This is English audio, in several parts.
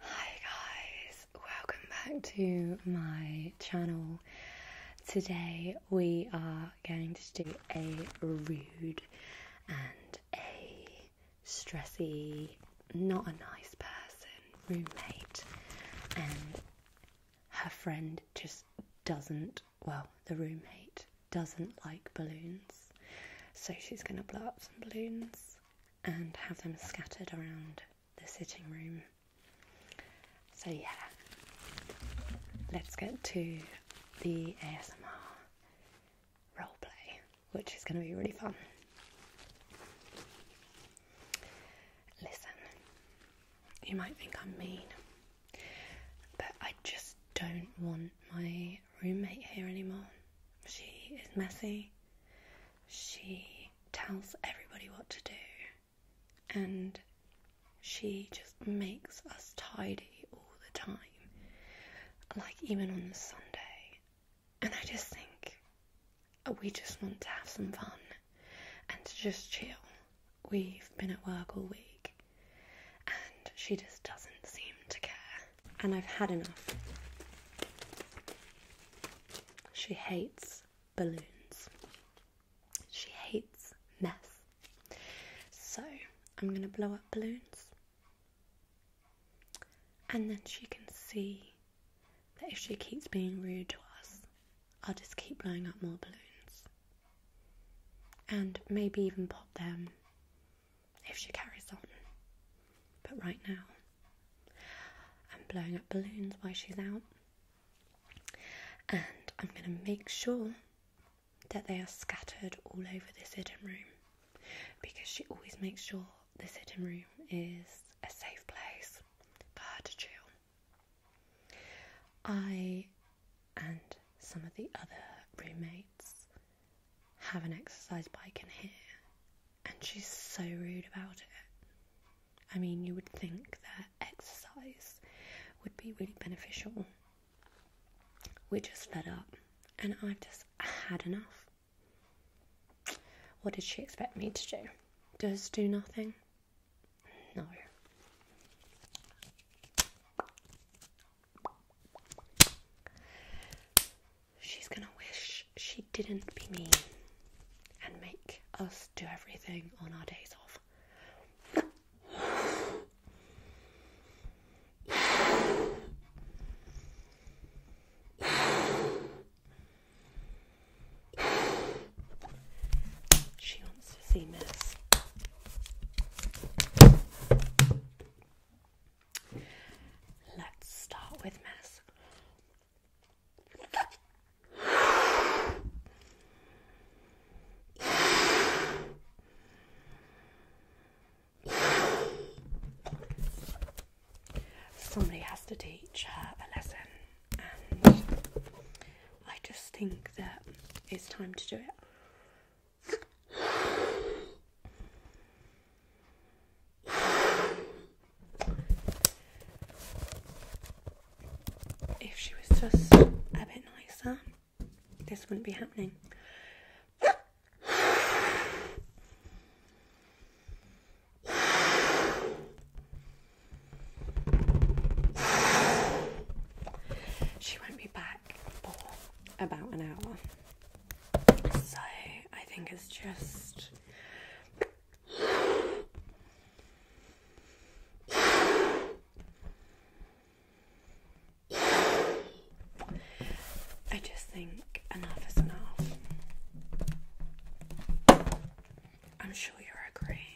Hi guys, welcome back to my channel. Today we are going to do a rude and a stressy, not a nice person roommate, and her friend just doesn't, well, the roommate doesn't like balloons, so she's going to blow up some balloons and have them scattered around the sitting room. So, yeah, let's get to the ASMR role play, which is going to be really fun. Listen, you might think I'm mean, but I just don't want my roommate here anymore. She is messy. She tells everybody what to do. And she just makes us tidy all the time. Like even on the Sunday. And I just think uh, we just want to have some fun and to just chill. We've been at work all week and she just doesn't seem to care and I've had enough. She hates balloons. She hates mess. So I'm going to blow up balloons. And then she can see that if she keeps being rude to us, I'll just keep blowing up more balloons. And maybe even pop them if she carries on. But right now, I'm blowing up balloons while she's out, and I'm going to make sure that they are scattered all over the sitting room because she always makes sure the sitting room is a safe place for her to chill. I and some of the other roommates have an exercise bike in here. And she's so rude about it. I mean, you would think that exercise would be really beneficial. We're just fed up, and I've just had enough. What did she expect me to do? Just do nothing? No. She's gonna wish she didn't be me and make us do everything on our days off. She wants to see mess. Let's start with mess. Somebody has to teach her a lesson, and I just think that it's time to do it. If she was just a bit nicer, this wouldn't be happening. She won't be back for about an hour. So I think it's just I just think enough is enough. I'm sure you'll agree.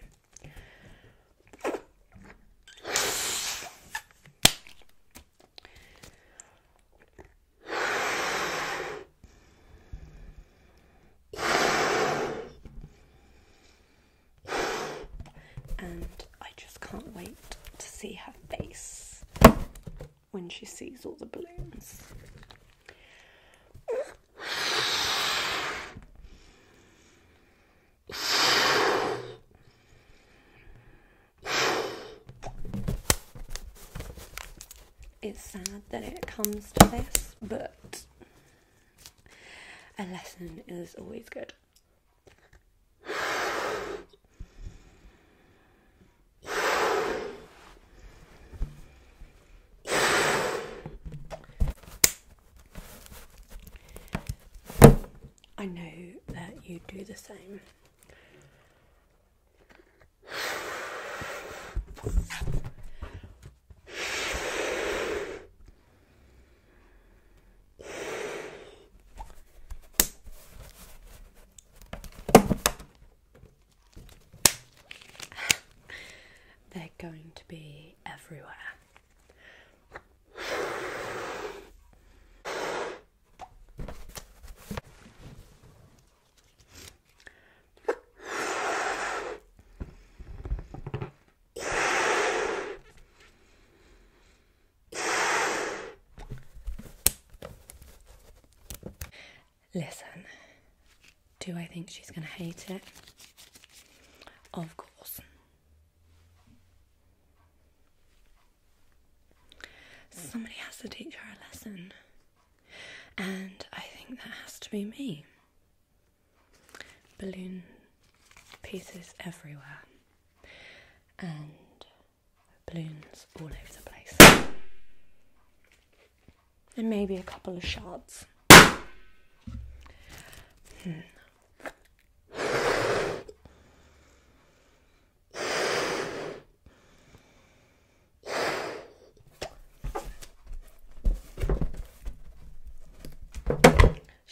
And I just can't wait to see her face when she sees all the balloons. It's sad that it comes to this, but a lesson is always good. I know that you do the same. They're going to be everywhere. Listen, do I think she's going to hate it? Of course. Somebody has to teach her a lesson, and I think that has to be me. Balloon pieces everywhere, and balloons all over the place, and maybe a couple of shards. Hmm. She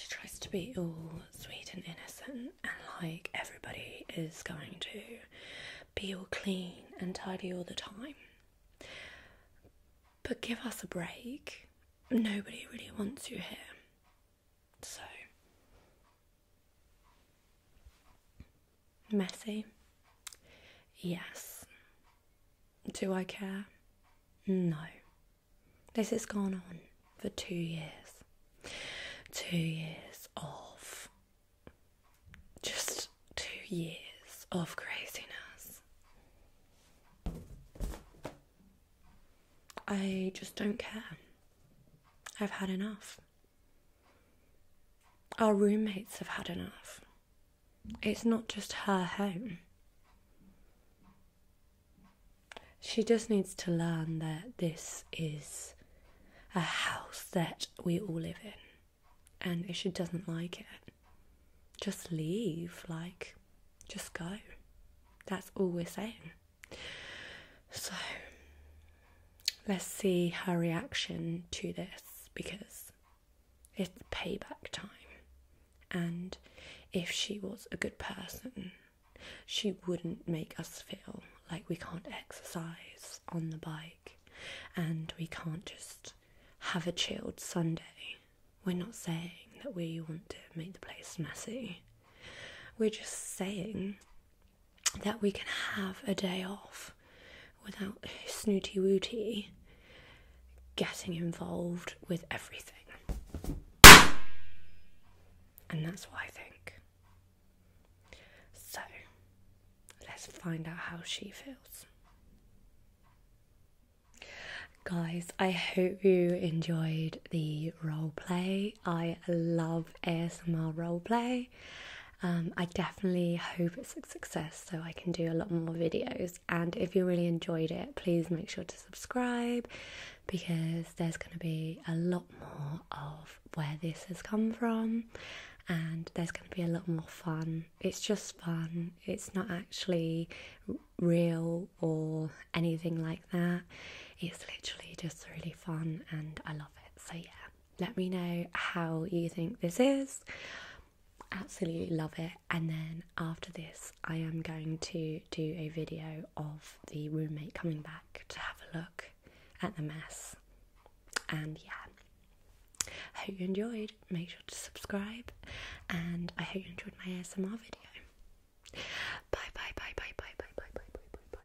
tries to be all sweet and innocent, and like everybody is going to be all clean and tidy all the time. But give us a break. Nobody really wants you here. So messy. Yes. Do I care? No. This has gone on for two years. Two years of just two years of craziness. I just don't care. I've had enough. Our roommates have had enough. It's not just her home. She just needs to learn that this is a house that we all live in. And if she doesn't like it, just leave. Like, just go. That's all we're saying. So let's see her reaction to this because it's payback time. And if she was a good person, she wouldn't make us feel like we can't exercise on the bike and we can't just have a chilled Sunday. We're not saying that we want to make the place messy. We're just saying that we can have a day off without snooty wooty getting involved with everything. And that's what I think. So let's find out how she feels. Guys, I hope you enjoyed the role play. I love ASMR role play. Um, I definitely hope it's a success so I can do a lot more videos. And if you really enjoyed it, please make sure to subscribe because there's going to be a lot more of where this has come from and there's going to be a lot more fun. It's just fun, it's not actually real or anything like that. It's literally just really fun and I love it. So, yeah let me know how you think this is. Absolutely love it. And then after this, I am going to do a video of the roommate coming back to have a look at the mess. And yeah, I hope you enjoyed. Make sure to subscribe, and I hope you enjoyed my ASMR video. Bye bye bye bye bye bye bye bye bye bye bye.